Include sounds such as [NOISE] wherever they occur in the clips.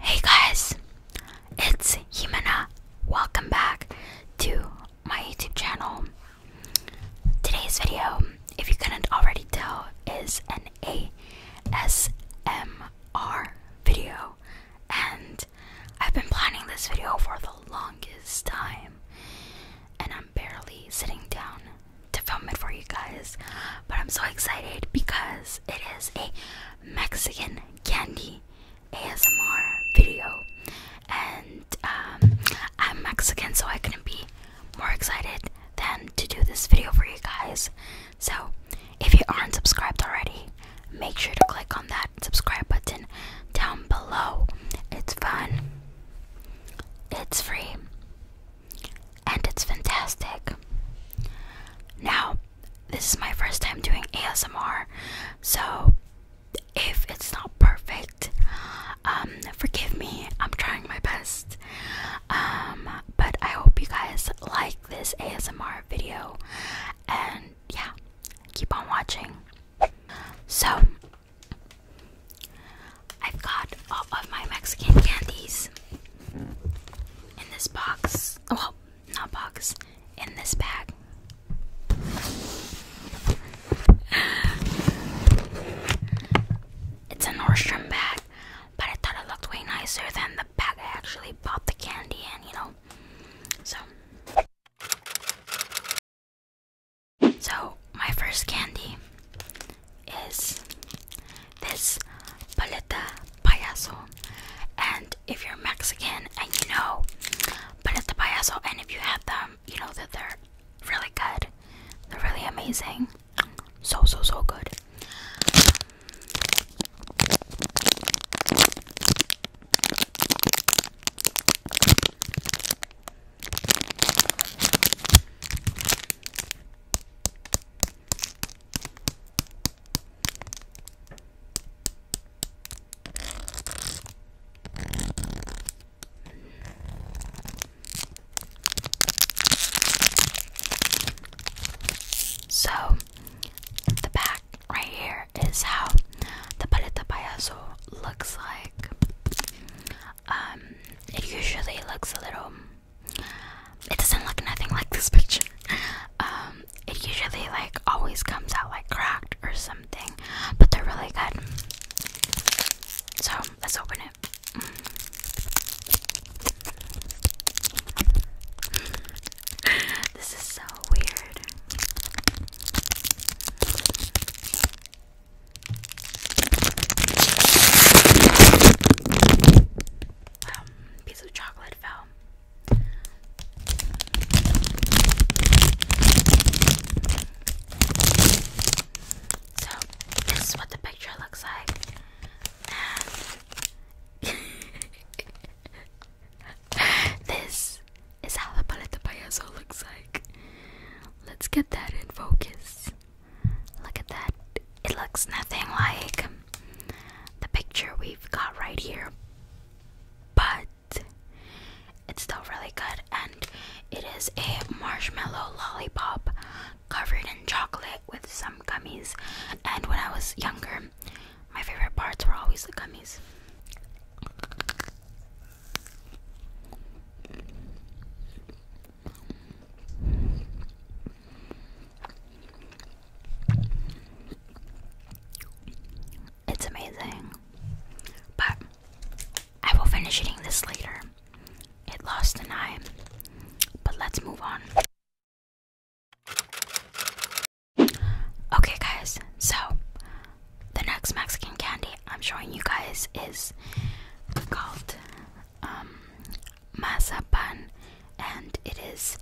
Hey guys, it's Himena. Welcome back to my YouTube channel. Today's video, if you couldn't already tell, is an ASMR video, and I've been planning this video for the longest time, and I'm. I'm barely sitting down to film it for you guys, but I'm so excited because it is a Mexican candy ASMR video, and um, I'm Mexican, so I couldn't be more excited than to do this video for you guys. So, if you aren't subscribed already, make sure to click on that subscribe button down below. It's fun. It's free. And it's fantastic. Now, this is my first time doing ASMR, so if it's not perfect, um, forgive me. I'm trying my best. Um, but I hope you guys like this ASMR video, and yeah, keep on watching. So, I've got all of my Mexican candies in this box. Oh, well, not box, in this bag. It's a Nordstrom bag, but I thought it looked way nicer than the bag I actually bought the candy in, you know? So. So, my first candy is this paleta payaso. And if you're Mexican and you know paleta payaso, and if you have them, you know that they're really good. They're really amazing. So, so, so good. So, the back right here is how the paleta payaso looks like. Um, it usually looks a little. It doesn't look nothing like this [LAUGHS] picture. Um, it usually like always comes out like cracked or something, but they're really good. So let's open it. [LAUGHS] this is so weird. Um, piece of chocolate fell. So this is what the picture looks like. [LAUGHS] this is how the paleta payaso looks like. Let's get that in focus. Look at that. It looks nothing like the picture we've got right here. But it's still really good, and it is a marshmallow lollipop covered in chocolate with some gummies. And when I was younger, my favorite parts were always the gummies. It's amazing. But I will finish eating this later. It lost an eye. But let's move on. Okay, guys, so the next Mexican candy I'm showing you guys is called um, mazapan, and it is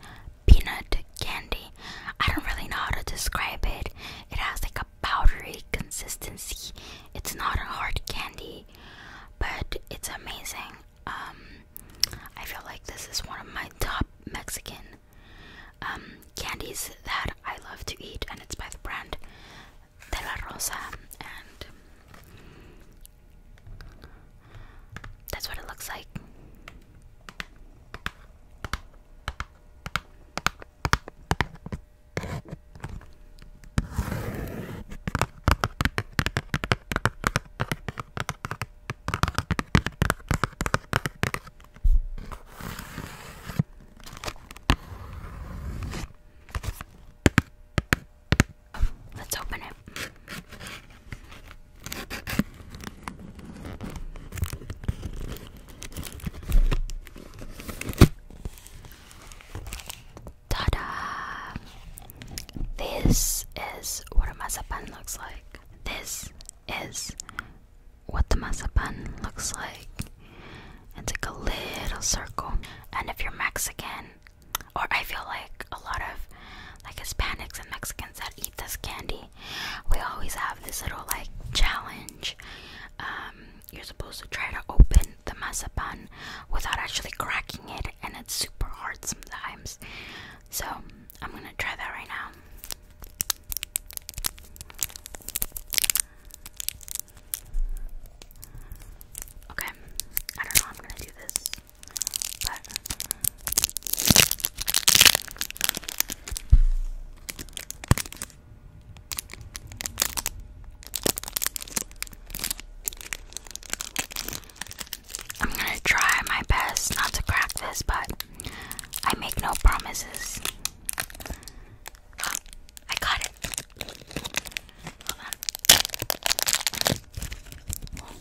peanut candy. I don't really know how to describe it. It has like a powdery consistency. It's not a hard candy, but it's amazing. Um, I feel like this is one of my top Mexican um, candies that I love to eat, and it's by the brand De Rosa, and that's what it looks like. Let's open it. Ta-da! This is what a mazapan looks like. This is what the mazapan looks like and take a little circle. And if you're Mexican, or I feel like a lot of like Hispanics and Mexicans that eat this candy, we always have this little like challenge. Um, you're supposed to try to open the mazapan without actually cracking it, and it's super hard sometimes. So I'm gonna try that right now. Okay, I don't know I'm gonna do this, but I'm gonna try my best not to crack this, but I make no promises. Oh, I got it. Hold on.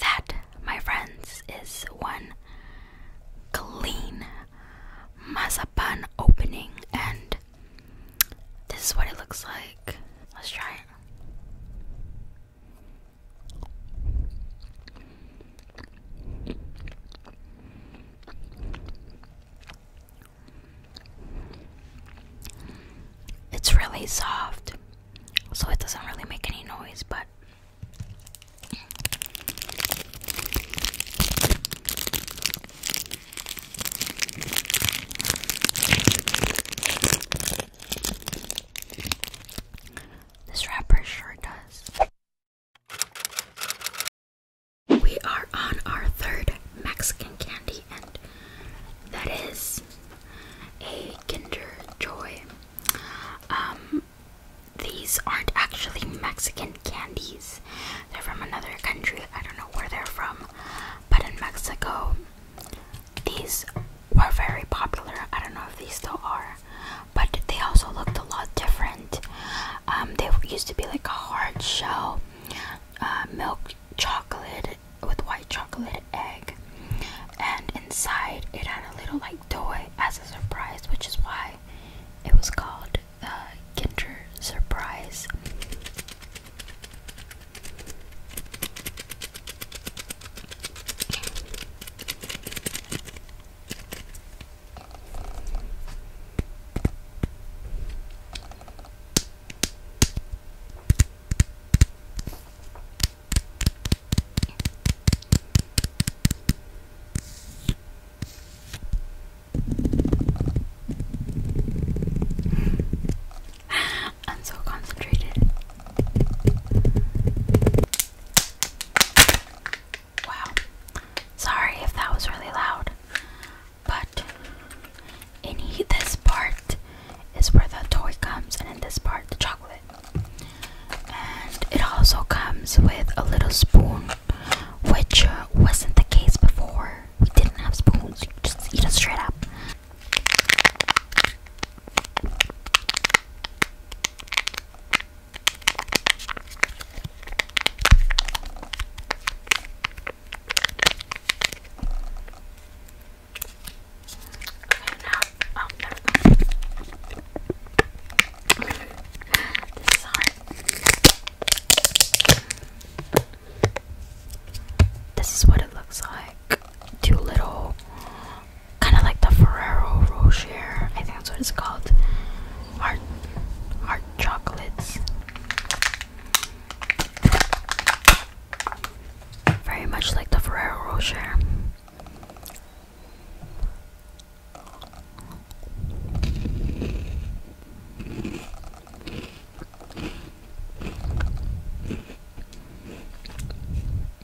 That, my friends, is one clean mazapan opening, and this is what it looks like. Let's try it. It's really soft, so it doesn't really make any noise, but this wrapper sure does. We are on our third Mexican candy, and that is a Kinder Joy. Um, these aren't actually Mexican candies, they're from another country. I don't know where they're from, but in Mexico, these were very popular. I don't know if these still are, but they also looked a lot different. Um, they used to be like a hard shell, uh, milk chocolate with white chocolate egg, and inside it had a little like toy as a surprise, which is why it was called uh, Kinder Surprise. I'm so concentrated. Wow. Sorry if that was really loud. But in this part is where the toy comes, and in this part, the chocolate. And it also comes with a little spoon, which uh, wasn't the case before. We didn't have spoons, you just eat it straight up now, oh, there we this is what it looks like. Too little kind of like the Ferrero Rocher. I think that's what it's called. Hard, hard chocolates. Very much like the Ferrero Rocher.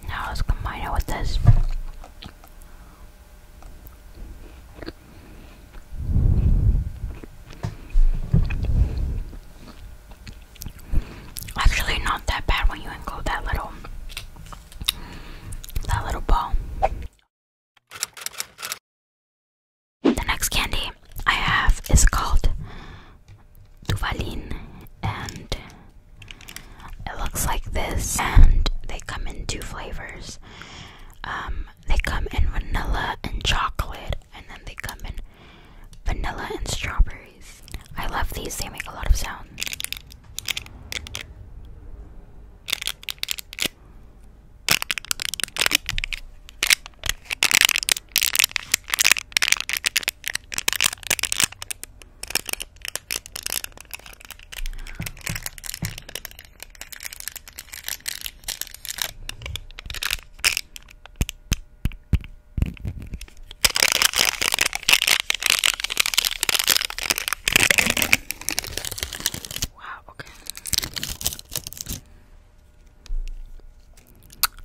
Now let's combine it with this. Actually, not that bad when you include that little that little ball. The next candy I have is called Duvalin and it looks like this, and they come in two flavors. Um, they come in vanilla and chocolate, and then they come in vanilla and strawberries. I love these, they make a lot of sound. Wow, okay.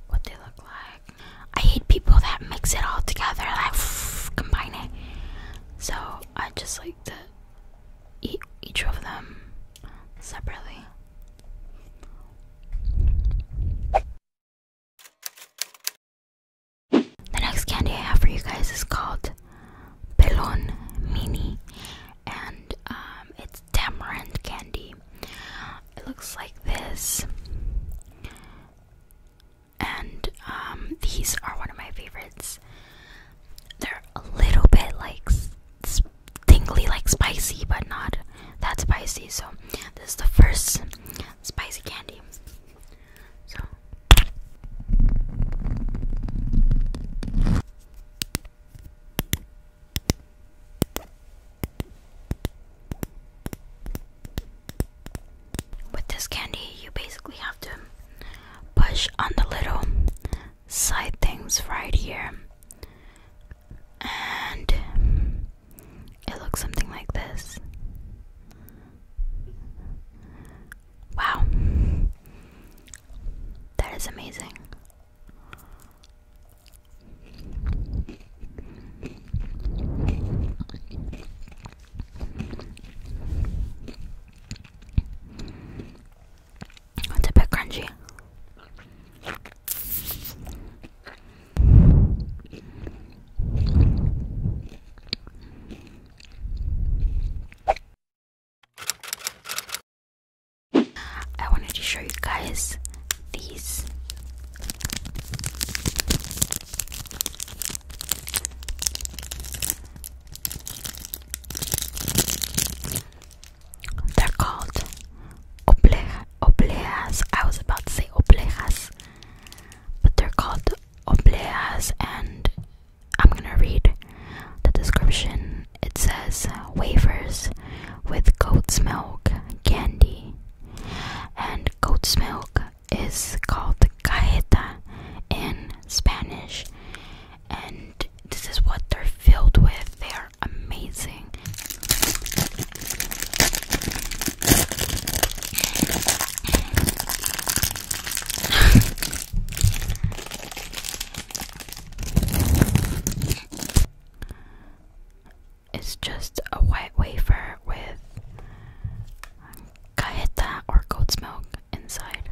What they look like. I hate people that mix it all together, like [LAUGHS] combine it. So I just like to eat each of them separately. The next candy I have for you guys is called Pelon Mini, and um, it's tamarind candy. It looks like this and um, these are one of my favorites. They're a little bit like tingly, like spicy, but not that spicy. So this is the first spicy candy. So. With this candy, you basically have to push on the little side things right here, and it looks something like this. Wow, that is amazing. It's a bit crunchy. I wanted to show you guys these. They're called oblejas. Obleas. I was about to say oblejas, but they're called obleas, and I'm gonna read the description. It says wafers with goat's milk candy and goat's milk is called cajeta in Spanish, and this is what they're filled with. They are amazing. [LAUGHS] it's just a white wafer with cajeta or goat's milk inside.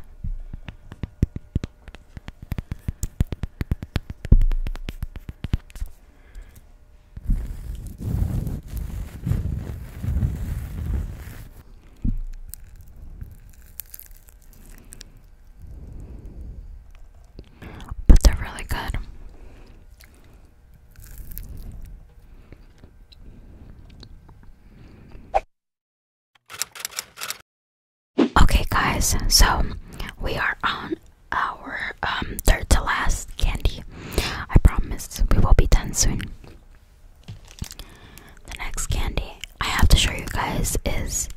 But they're really good. Okay, guys, so we are on our um, third to last candy. I promise we will be done soon. The next candy I have to show you guys is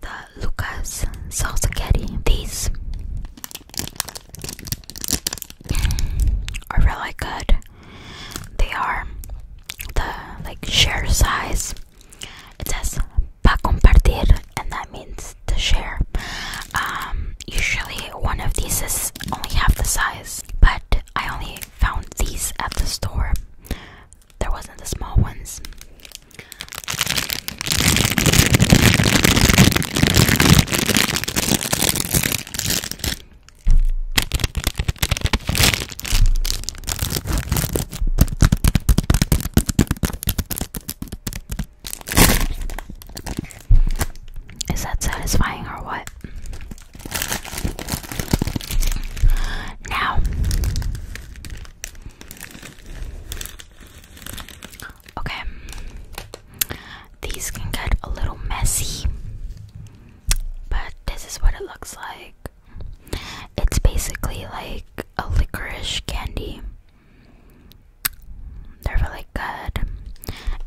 the Lucas salsa candy. These are really good. They are the like share size. It says pa compartir, and that means to share. Um, usually one of these is only half the size, but I only found these at the store. There wasn't the small ones. Is that satisfying or what? Now, Okay. These can get a little messy, but this is what it looks like. It's basically like a licorice candy. They're really good,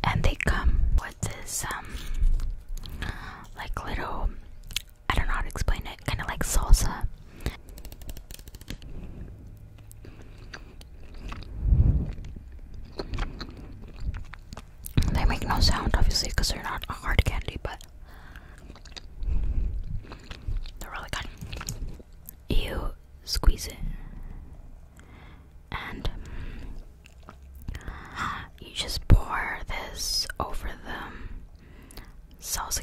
and they come with this um, like little. I don't know how to explain it. Kind of like salsa. They make no sound, obviously, because they're not a hard candy, but they're really good. You squeeze it, and you just pour this over the salsa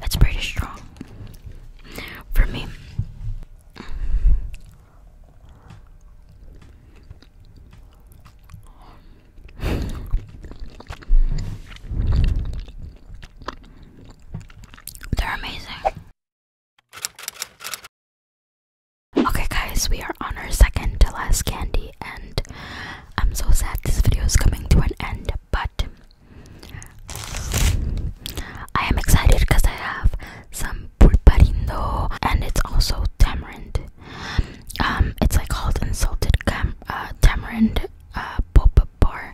that's pretty strong for me. They're amazing. Okay, guys, we are on our second to last candy and I'm so sad this video is coming to an end but I am excited because I have some pulparindo and it's also tamarind. Um, it's like called insulted cam uh, tamarind uh, boba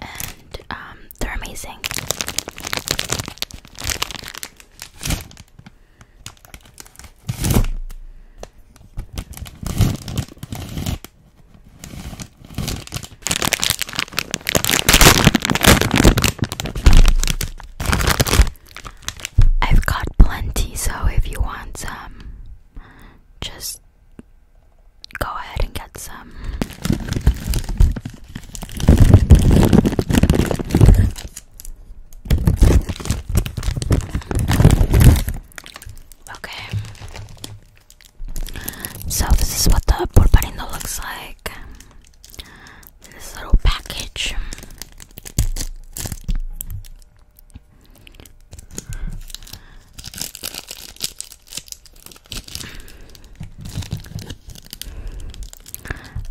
and um, they're amazing. I've got plenty, so if you want some, just go ahead and get some. Okay. So this is what the porparino looks like. This little package.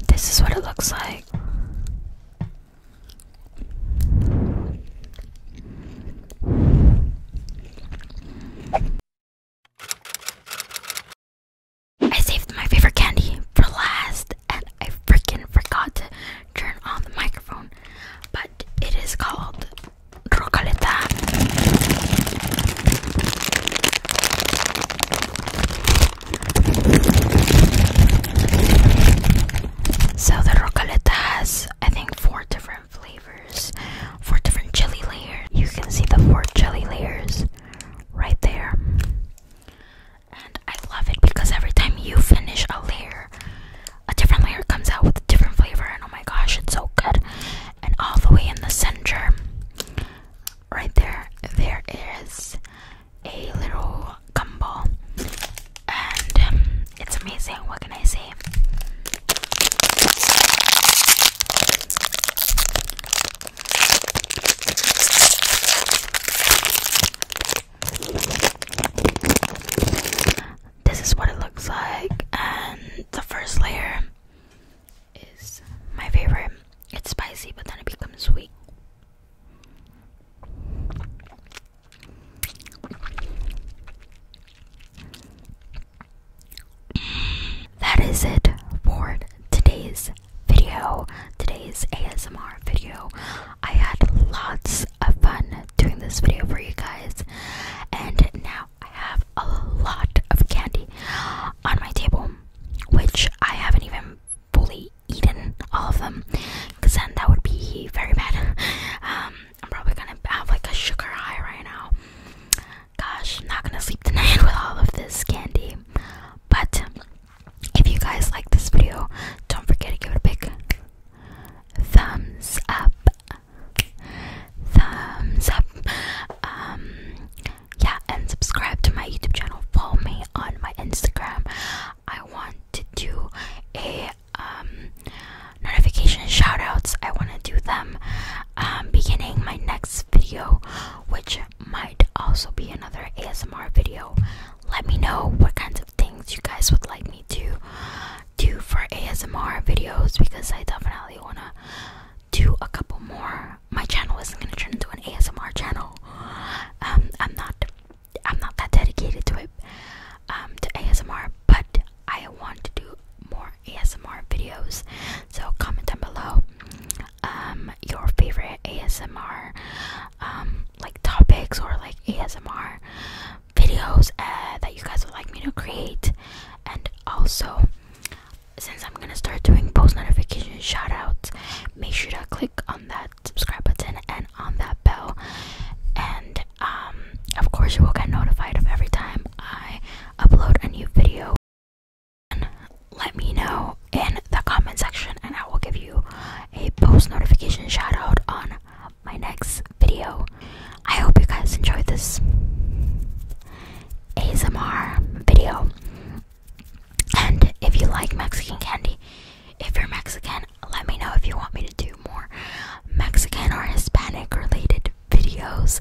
This is what it looks like. I saved my favorite candy for last and I freaking forgot to turn on the microphone, but it is called Rocaleta. So the rocaleta has, I think, four different flavors, four different chili layers. You can see the four chili layers right there. And I love it because every time you finish a layer, a different layer comes out with a different flavor, and oh my gosh, it's so good. And all the way in the center, right there, there is a little gumbo, and um, it's amazing. What can I say? This is what it looks like, and the first layer is my favorite. It's spicy, but then it becomes sweet. That is it for today's video, today's ASMR video. I had lots of fun doing this video for you guys, and now I have a lot of candy on my table, which I haven't even fully eaten all of them then that would be very bad. [LAUGHS] Um, I'm probably gonna have like a sugar high right now. Gosh, I'm not gonna sleep tonight [LAUGHS] with all of this candy. But if you guys like this video, don't forget to give it a big thumbs up. Thumbs up. Um, yeah, and subscribe to my YouTube channel. Follow me on my Instagram. I want to do a um, notification shoutouts. I want to do them um, beginning my next video, which might also be another ASMR video. Let me know what kinds of things you guys would like me to do for ASMR videos because I definitely want to do a couple more. My channel isn't going to turn into an ASMR channel. Um, I'm not I'm not that dedicated to it, um, to ASMR, but I want to do more ASMR videos. So comment down below um, your favorite ASMR um, like topics or like ASMR videos uh, that you guys would like me to create, and also since I'm gonna start doing post notification shoutouts, make sure to click on that subscribe button and on that bell and um, of course you will get notified of every time I upload a new video and let me know in the comment section and I will give you a post notification shout out on my next video. I hope you guys enjoyed this ASMR video. And if you like Mexican candy, if you're Mexican, let me know if you want me to do more Mexican or Hispanic related videos.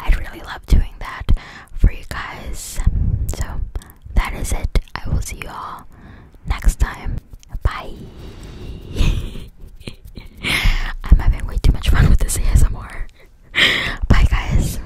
I'd really love doing that for you guys. So that is it. I will see you all next time. Bye. [LAUGHS] I'm having way too much fun with this ASMR. Bye, guys.